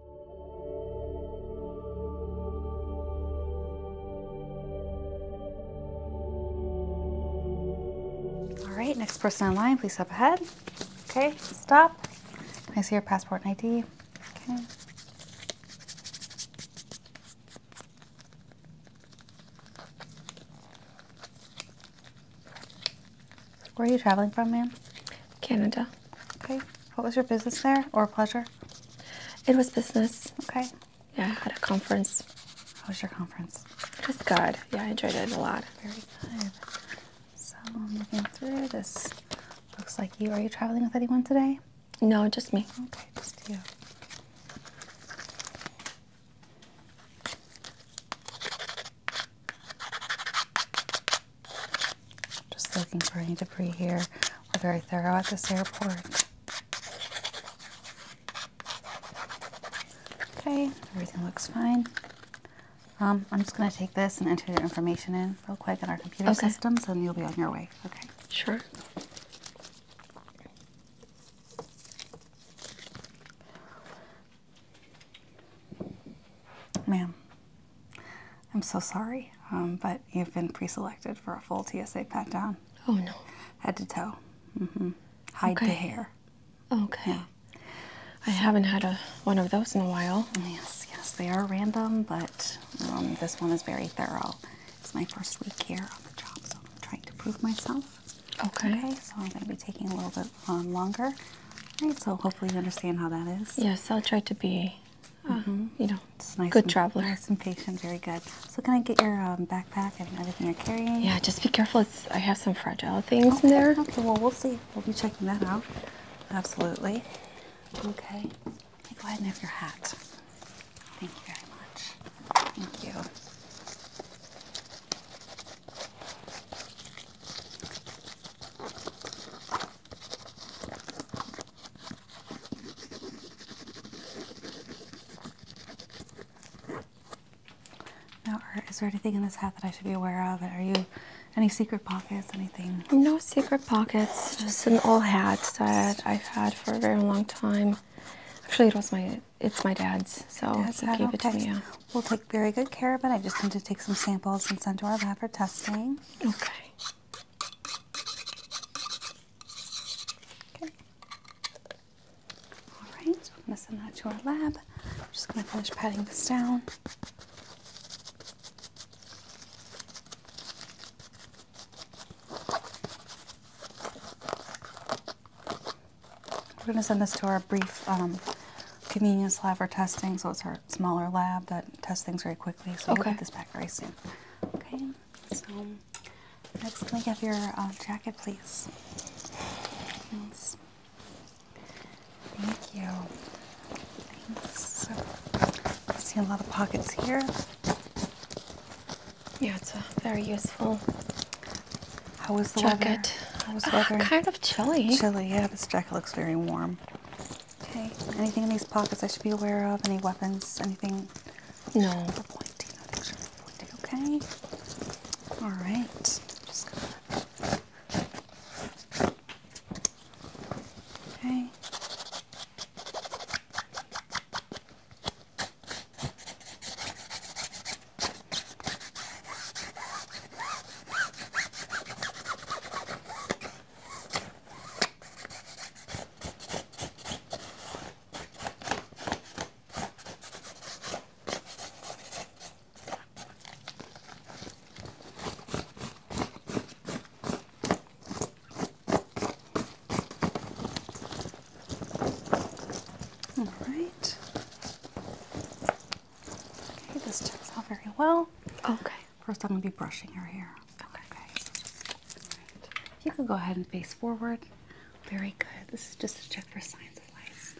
All right, next person online, please step ahead. Okay, stop. I see your passport and ID? Okay. Where are you traveling from, ma'am? Canada. Okay. What was your business there or pleasure? It was business. Okay. Yeah, I had a conference. How was your conference? It was good. Yeah, I enjoyed it a lot. Very good. So I'm looking through this. Looks like you. Are you traveling with anyone today? No, just me. Okay, just you. Just looking for any debris here. We're very thorough at this airport. Okay, everything looks fine. Um, I'm just going to take this and enter your information in real quick in our computer system, systems, and you'll be on your way. Okay. Sure. Ma'am, I'm so sorry, um, but you've been pre-selected for a full TSA pat down. Oh no. Head to toe. Mm-hmm. Hide the hair. Okay. Yeah. I haven't had a one of those in a while. Yes, yes, they are random, but um, this one is very thorough. It's my first week here on the job, so I'm trying to prove myself. Okay. Okay, so I'm going to be taking a little bit um, longer. All right, so hopefully you understand how that is. Yes, I'll try to be Mm-hmm. You know, it's nice. Good and, traveler. Nice and patient. Very good. So can I get your um, backpack and everything you're carrying? Yeah, just be careful. I have some fragile things in there. Okay. Well, we'll see. We'll be checking that out. Absolutely. Okay. Go ahead and have your hat. Thank you very much. Thank you. Now, is there anything in this hat that I should be aware of? Are you any secret pockets? Anything? No secret pockets. Just an old hat that I've had for a very long time. Actually, it was my it's my dad's, so dad's he hat? it Yeah. We'll take very good care of it. I just need to take some samples and send to our lab for testing. Okay. Okay. Alright, we're going to send that to our lab. just going to finish patting this down. We're going to send this to our brief um, convenience lab for testing, so it's our smaller lab that tests things very quickly. So we'll get this back very soon. Okay. So let's we have your uh, jacket, please? Thanks. Thank you. Thanks. I see a lot of pockets here. Yeah, it's very useful. How the jacket. weather? the weather? Uh, kind of chilly. Chilly, yeah. This jacket looks very warm. Okay. Anything in these pockets I should be aware of? Any weapons? Anything? No. Okay. All right. Okay. All right. Okay, this checks out very well. Okay. First, I'm going to be brushing her hair. Okay. okay. You could go ahead and face forward. Very good. This is just to check for signs of lice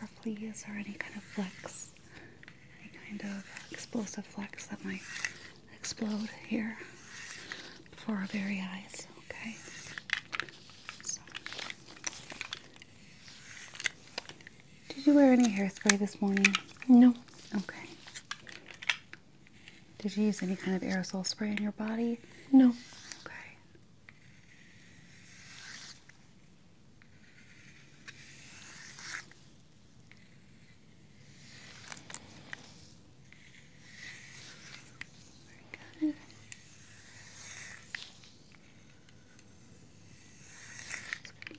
or fleas or any kind of flecks, any kind of explosive flecks that might explode here before our very eyes. Okay. Did you wear any hairspray this morning? No. Okay. Did you use any kind of aerosol spray on your body? No. Okay.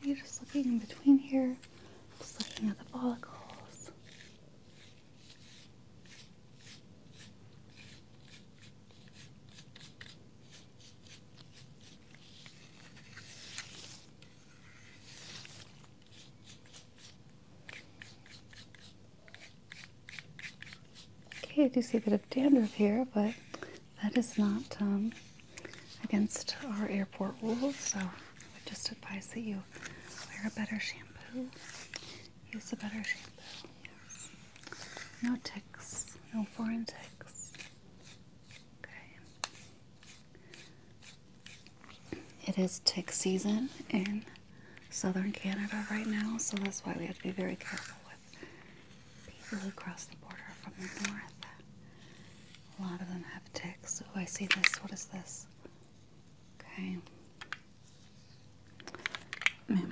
You're just looking in between here, just looking at the follicles. Okay, I do see a bit of dandruff here, but that is not um, against our airport rules, so I would just advise that you wear a better shampoo. Use a better shampoo. No ticks, no foreign ticks. Okay. It is tick season in southern Canada right now, so that's why we have to be very careful with people who cross the border from the north. A lot of them have ticks. Oh, I see this. What is this? Okay. Hmm.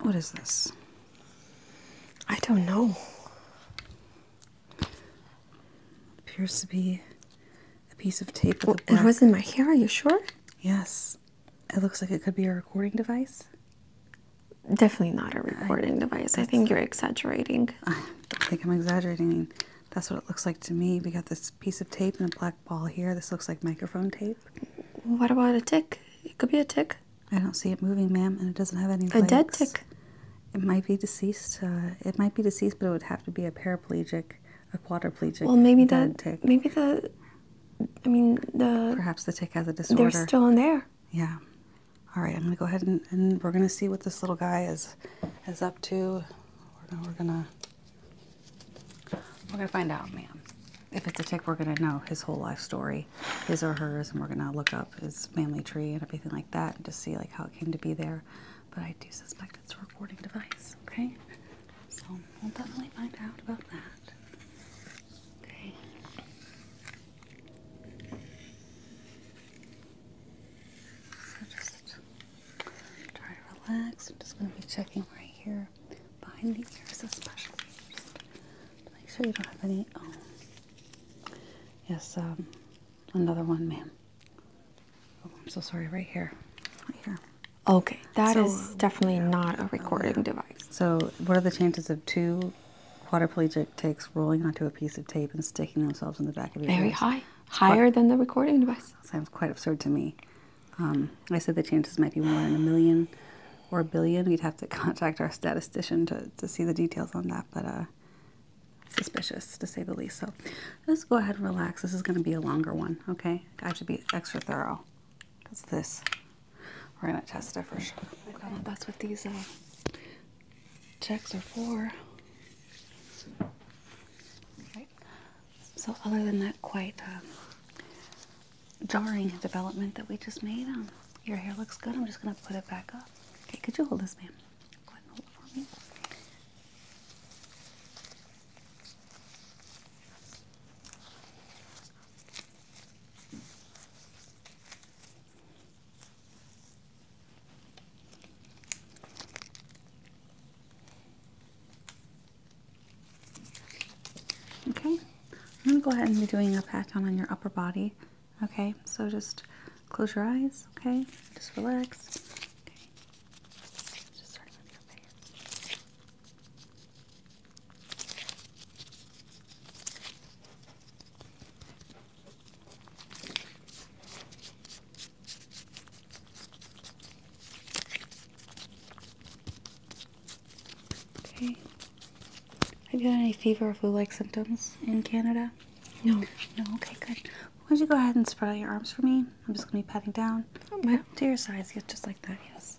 what is this? I don't know. Appears to be a piece of tape. it was in my hair. Are you sure? Yes. It looks like it could be a recording device. Definitely not a recording device. I think you're exaggerating. I think I'm exaggerating. I mean, that's what it looks like to me. We got this piece of tape and a black ball here. This looks like microphone tape. What about a tick? It could be a tick. I don't see it moving, ma'am, and it doesn't have any. A legs. dead tick. It might be deceased. Uh, it might be deceased, but it would have to be a paraplegic, a quadriplegic. Well, maybe that. Tick. Maybe the. I mean the. Perhaps the tick has a disorder. They're still in there. Yeah. All right, I'm gonna go ahead and, we're gonna see what this little guy is is up to. We're, we're gonna we're gonna find out, ma'am. If it's a tick, we're gonna know his whole life story, his or hers, and we're gonna look up his family tree and everything like that, and just see like how it came to be there. But I do suspect it's a recording device. Okay, so we'll definitely find out about that. Okay. So just try to relax. I'm just going to be checking right here behind the ears, especially make sure you don't have any. Oh, yes, um, another one, ma'am. Oh, I'm so sorry. Right here, right here. Okay, that is definitely not a recording device. So, what are the chances of two quadriplegic takes rolling onto a piece of tape and sticking themselves in the back of your Very high, higher than the recording device. Sounds quite absurd to me. Um, I said the chances might be more than a million or a billion. We'd have to contact our statistician to, see the details on that, but uh, suspicious to say the least. So let's go ahead and relax. This is going to be a longer one, okay? I have to be extra thorough. What's this? We're going to test it for sure. That's what these are. Uh, checks are for. So other than that quite uh, jarring development that we just made, um, your hair looks good. I'm just going to put it back up. Okay, could you hold this, ma'am? hold it for me. Okay, I'm gonna go ahead and be doing a pat down on your upper body. Okay, so just close your eyes. Okay, just relax. Have you had any fever or flu-like symptoms in Canada? No. No. Okay, good. Why don't you go ahead and spread out your arms for me? I'm just gonna be patting down. Oh, well. To your sides, yeah, just like that. Yes.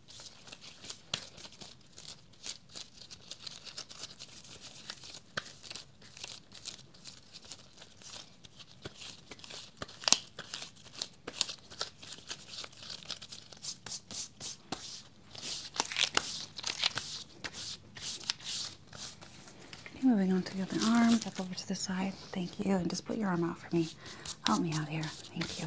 moving on to the other arm, step over to the side. Thank you. And just put your arm out for me. Help me out here. Thank you.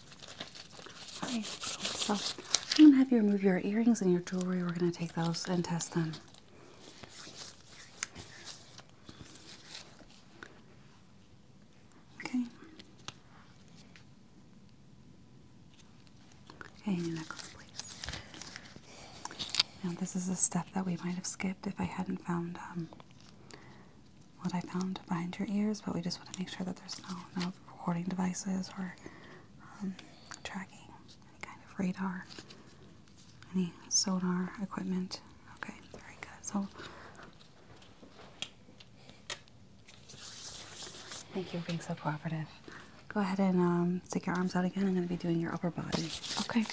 Alright, so I'm gonna have you remove your earrings and your jewelry. We're gonna take those and test them. Okay. Okay, your necklace, please. Now, this is a step that we might have skipped if I hadn't found um, what I found behind your ears, but we just want to make sure that there's no, no recording devices or um, tracking, any kind of radar, any sonar equipment. Okay, very good. So Thank you for being so cooperative. Go ahead and um, stick your arms out again. I'm going to be doing your upper body. Okay.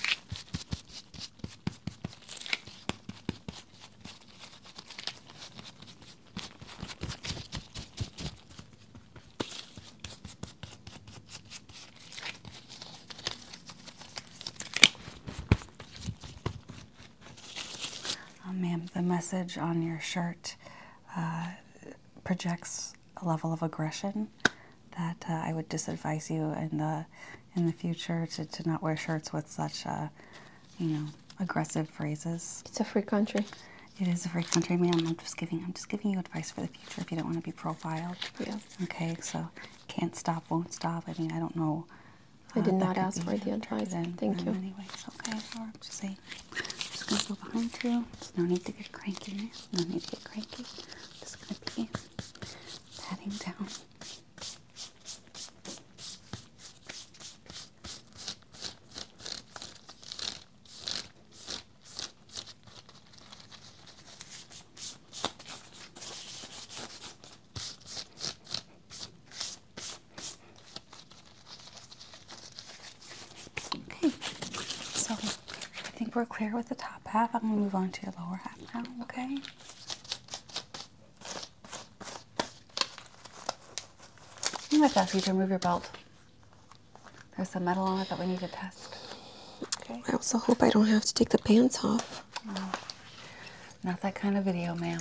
Oh, ma'am, the message on your shirt uh, projects a level of aggression that uh, I would disadvise you in the in the future to, to not wear shirts with such a uh, you know aggressive phrases. It's a free country. It is a free country, ma'am. I'm just giving I'm just giving you advice for the future if you don't want to be profiled. Yeah. Okay, so can't stop, won't stop. I mean, I don't know. I did uh, not ask for the advice. Um, Thank you. Anyways, okay. Or I'm just gonna go behind you. no need to get cranky. No need to get cranky. just gonna be patting down. Okay, so I think we're clear with the top half. I'm going to move on to your lower half now, okay? I'm going to ask you to remove your belt. There's some metal on it that we need to test. I also hope I don't have to take the pants off. Not that kind of video, ma'am.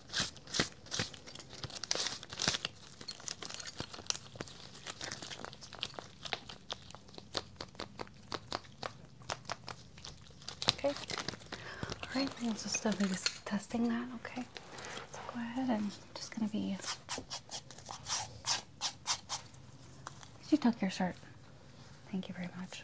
Okay. All right, we'll just be uh, testing that. Okay. Let's go ahead and just gonna be. you took your shirt? Thank you very much.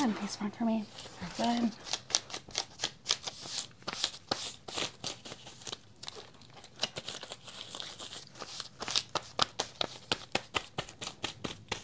Good, this one for me. Very good.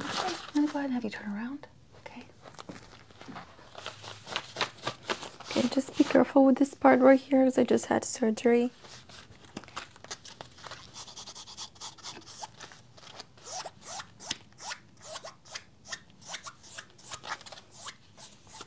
Okay, I'm gonna go ahead and have you turn around. Okay. Okay, just be careful with this part right here because I just had surgery.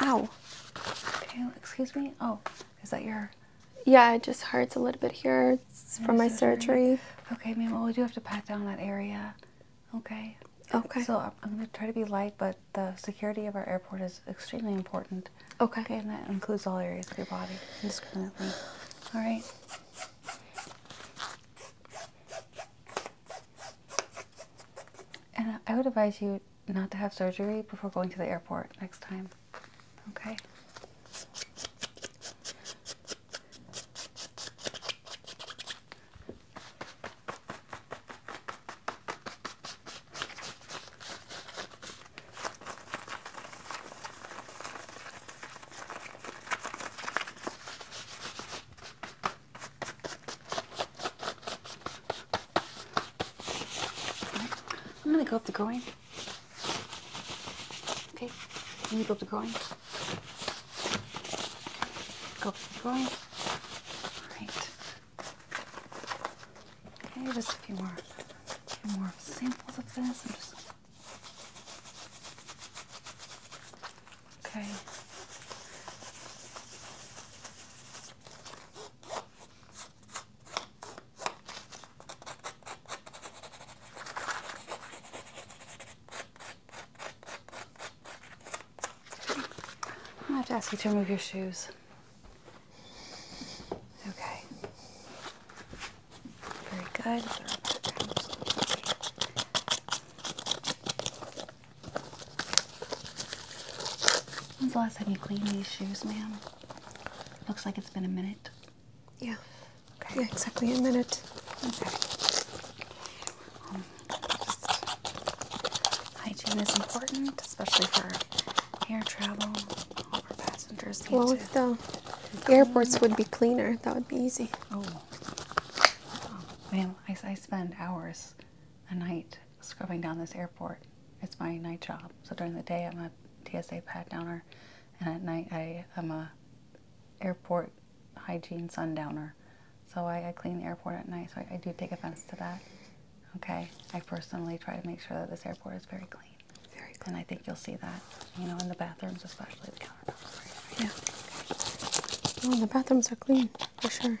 Ow. excuse me. Oh, is that your yeah, it just hurts a little bit here. from my surgery. Okay, ma'am. Well, we do have to pat down that area. Okay. Okay. So I'm, going to try to be light, but the security of our airport is extremely important. Okay. Okay, and that includes all areas of your body indiscriminately. All right. And I would advise you not to have surgery before going to the airport next time. Okay? I'm gonna go up the groin. Okay, let me go up the groin. Go groin. Alright. Okay, just a few more, a few more samples of this. Okay. I have to ask you to remove your shoes. Okay. Very good. When's the last time you cleaned these shoes, ma'am? Looks like it's been a minute. Yeah. Yeah, exactly a minute. Okay. Um, hygiene is important, especially for air travel. All our passengers need to if the airports would be cleaner, that would be easy. Oh. oh. Man, I, I spend hours a night scrubbing down this airport. It's my night job. So during the day, I'm not TSA pat downer, and at night I am a airport hygiene sundowner. So I, clean the airport at night, so I, do take offense to that. Okay, I personally try to make sure that this airport is very clean. Very clean. And I think you'll see that, you know, in the bathrooms, especially the countertops. Yeah. Okay. Oh, the bathrooms are clean, for sure.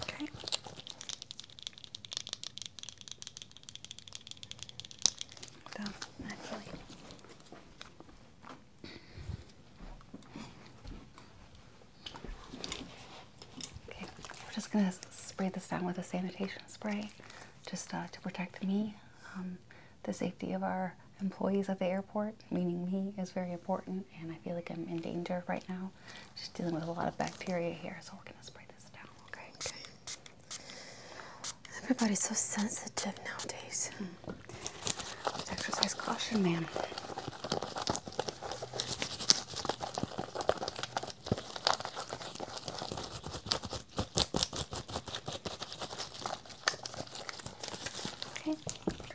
Okay. Done, actually. Okay, we're just gonna spray this down with a sanitation spray just uh, to protect me. Um, the safety of our employees at the airport, meaning me, is very important, and I feel like I'm in danger right now know, just dealing with a lot of bacteria here, so we're gonna spray this down. Okay. Everybody's so sensitive nowadays. Hmm. exercise caution, man. Okay.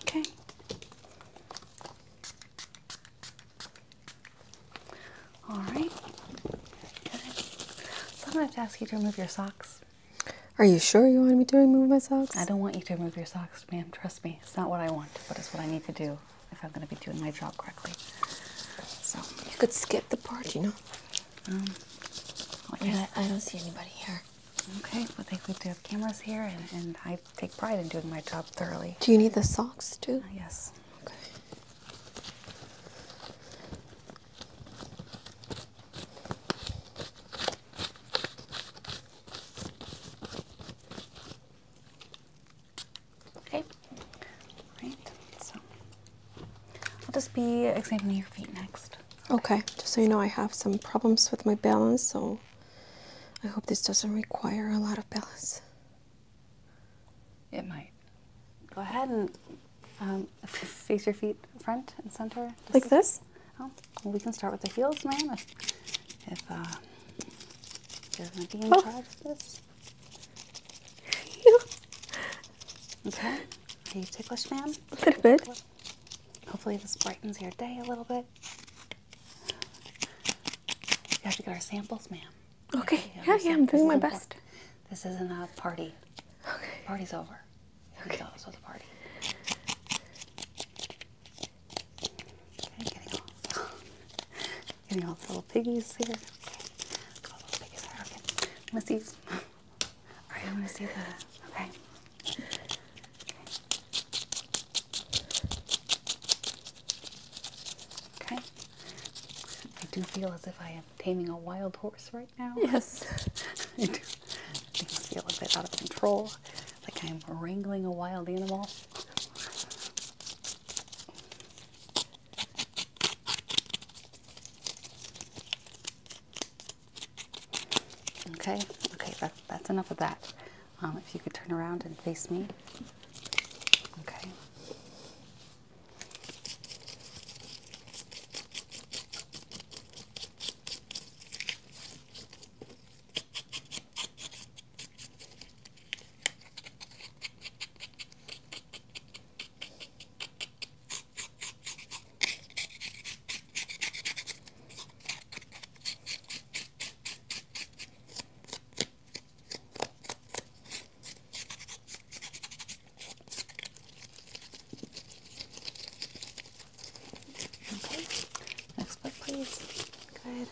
Okay. All right. Good. So I'm gonna have to ask you to remove your socks. Are you sure you want me to remove my socks? I don't want you to remove your socks, ma'am. Trust me. It's not what I want, but it's what I need to do if I'm going to be doing my job correctly. So you could skip the part, you know. yeah, um, I, don't see anybody here. Okay, but they, we do have cameras here, and, I take pride in doing my job thoroughly. Do you need the socks too? Uh, yes. Okay. Right. So I'll just be examining your feet next. Okay. Just so you know, I have some problems with my balance, so I hope this doesn't require a lot of balance. It might. Go ahead and um, face your feet front and center. Like this? Oh, we can start with the heels, ma'am, if, uh, do you want to be in oh. charge of this? okay. Are you ticklish, ma'am? A little bit. Hopefully this brightens your day a little bit. We have to get our samples, ma'am. Okay. Yeah, yeah, I'm doing my best. This isn't a party. Okay. Party's over. Okay. It's also the party. getting all, the little piggies here. Okay, all the little piggies are okay. Let's see. all right, I'm gonna see the. Okay. okay. I do feel as if I am taming a wild horse right now. Yes. I do. Things feel a bit out of control like I'm wrangling a wild animal. Okay, okay, that's enough of that. Um, if you could turn around and face me. Okay. Okay, next book please. Good.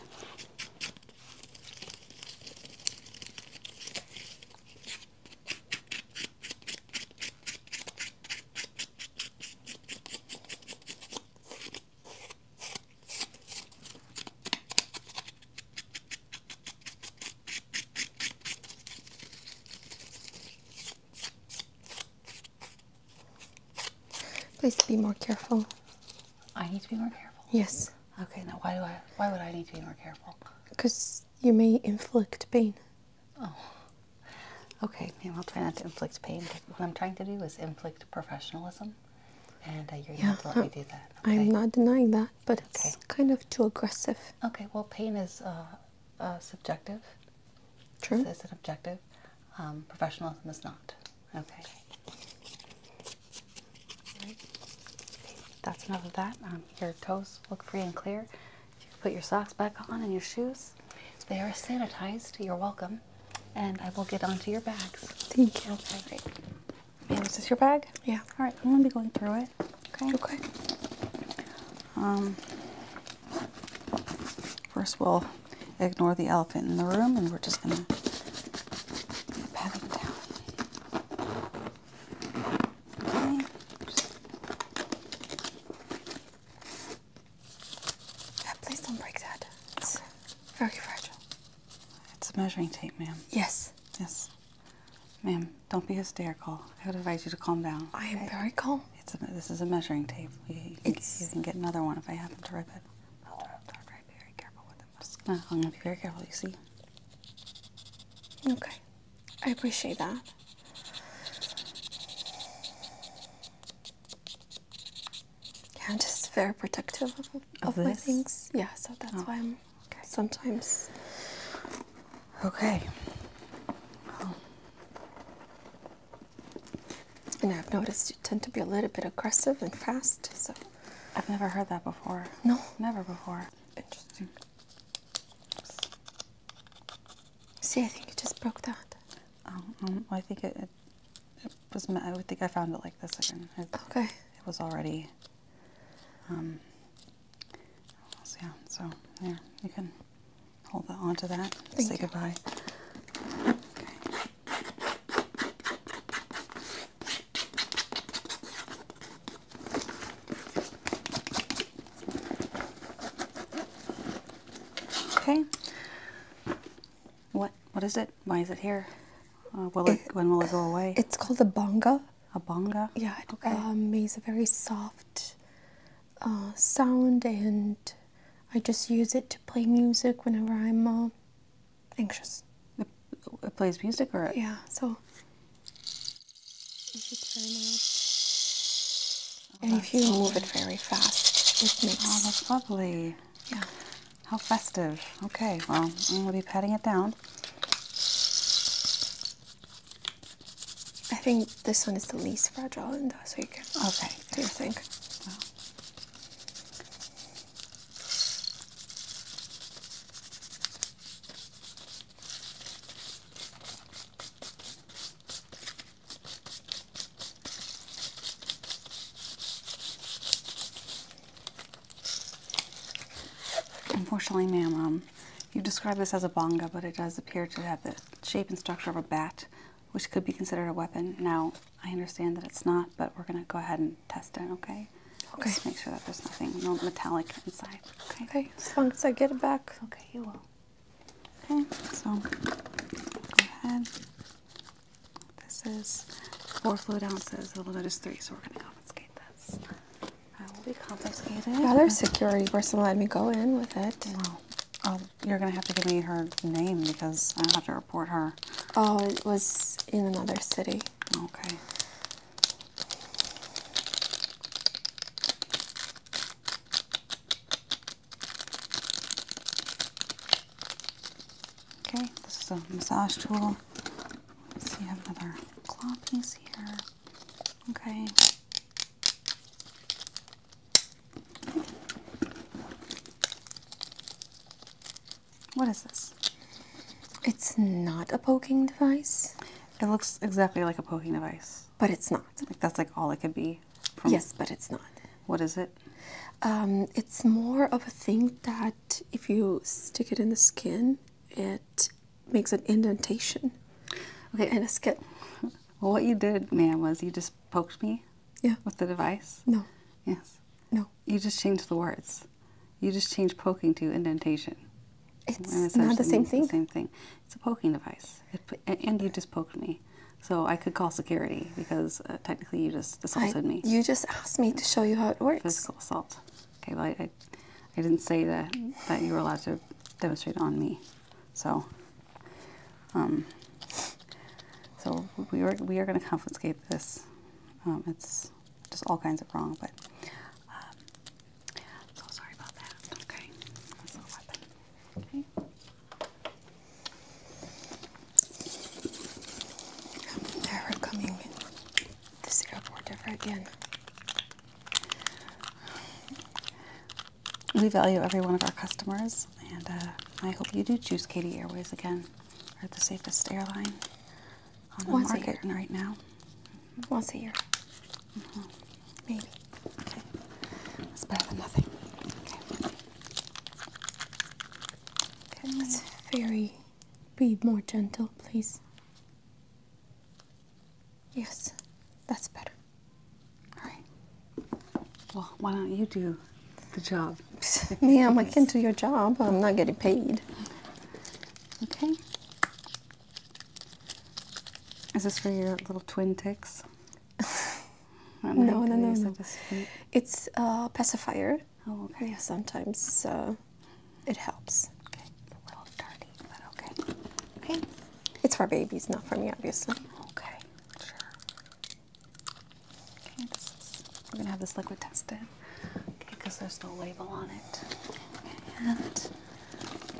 Please be more careful. I need to be more careful. Yes. Okay, now why do I why would I need to be more careful? Because you may inflict pain. Oh. Okay, i I'll try not to inflict pain, what I'm trying to do is inflict professionalism. And uh, you're yeah, not to let me do that. I'm not denying that, but it's kind of too aggressive. Okay, well, pain is uh, uh, subjective. True. Is it's an objective. Um, professionalism is not. Okay. Right. That's enough of that. Um, your toes look free and clear. You can put your socks back on and your shoes. They are sanitized. You're welcome. And I will get onto your bags. Thank you. Okay, great. Yeah, is this your bag? Yeah. All right, I'm gonna be going through it. Okay. Okay. Um. First, we'll ignore the elephant in the room and we're just going to pat him down. Uh, please don't break that. It's very fragile. It's a measuring tape, ma'am. Yes. Yes. Ma'am, don't be hysterical. I would advise you to calm down. I am very calm. It's this is a measuring tape. You, can, get another one if I happen to rip it. I'm very careful with it. It's not going to be very careful, you see. Okay, I appreciate that. Yeah, I'm just very protective of, my things. Yeah, so that's oh, why I'm okay. sometimes. Okay. Oh. And I've noticed you tend to be a little bit aggressive and fast. So I've never heard that before. No, never before. Interesting. See, I think you just broke that. Um, um I think it, it, was. I would think I found it like this again. okay. It was already. Um. yeah. So there, you can hold that to that. say goodbye. Okay. Okay. What what is it? Why is it here? Uh, when will it go away? It's called a bonga. A bonga. Yeah. It okay. Um, makes a very soft uh, sound, and I just use it to play music whenever I'm uh, anxious. It, plays music or? Yeah, so. Oh, and if you move it very fast, it oh, makes. Oh, that's lovely. Yeah. How festive. Okay, well, I'm going to be patting it down. I think this one is the least fragile, in that's what you can okay. do you think? Unfortunately, ma'am, um, you describe this as a bonga, but it does appear to have the shape and structure of a bat, which could be considered a weapon. Now, I understand that it's not, but we're going to go ahead and test it, okay? Okay. Just make sure that there's nothing, no metallic inside, okay? Okay, as long as I get it back. Okay, you will. Okay, so go ahead. This is four fluid ounces, the limit is three, so we're going to confiscate this. I will be confiscated. Another security person let me go in with it. Wow. Oh, you're going to have to give me her name because I have to report her. Oh, it was in another city. Okay. Okay, this is a massage tool. Let's see, I have another claw piece here. Okay. What is this? It's not a poking device. It looks exactly like a poking device. But it's not. Like that's like all it could be. yes, but it's not. What is it? Um, it's more of a thing that if you stick it in the skin, it makes an indentation. Okay, in a skin. what you did, man, was you just poked me yeah. With the device? No. Yes. No. You just change the words. You just change poking to indentation. It's not the same thing. same thing. It's a poking device, and you just poked me, so I could call security because uh, technically you just assaulted me. You just asked me to show you how it works. Physical assault. Okay, well I, I, I didn't say that that you were allowed to demonstrate on me, so. Um, so we are we are going to confiscate this um, it's just all kinds of wrong, but um, so sorry about that. Okay, that's a weapon. this airport ever again. We value every one of our customers, and uh, I hope you do choose Katy Airways again. Are or the safest airline on the market right now. Once a year. Maybe. Okay. That's better than nothing. Okay. Okay. Let's very be more gentle, please. Yes, that's better. All right. Well, why don't you do the job. Ma'am, I can't do your job. I'm not getting paid. Okay. Is this for your little twin ticks? no, no, no, no. It's a pacifier. Oh, okay. sometimes it helps. Okay. Okay. It's for babies, not for me, obviously. Okay, sure we're gonna have this liquid tested, okay, because there's no label on it. And,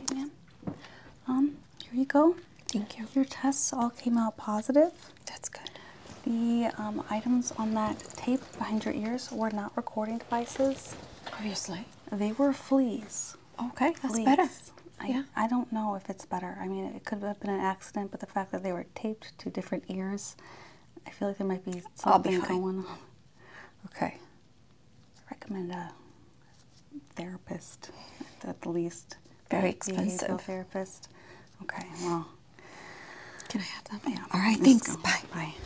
okay, um, here you go. Thank you. Your tests all came out positive. That's good. The um, items on that tape behind your ears were not recording devices. Obviously. They were fleas. Okay, that's better. yeah. I don't know if it's better. I mean, it could have been an accident, but the fact that they were taped to different ears I feel like there might be something going on. Okay. recommend a therapist, at the least. Very expensive. therapist. Okay, well. Can I have that, Yeah. All right, thanks. Bye. Bye.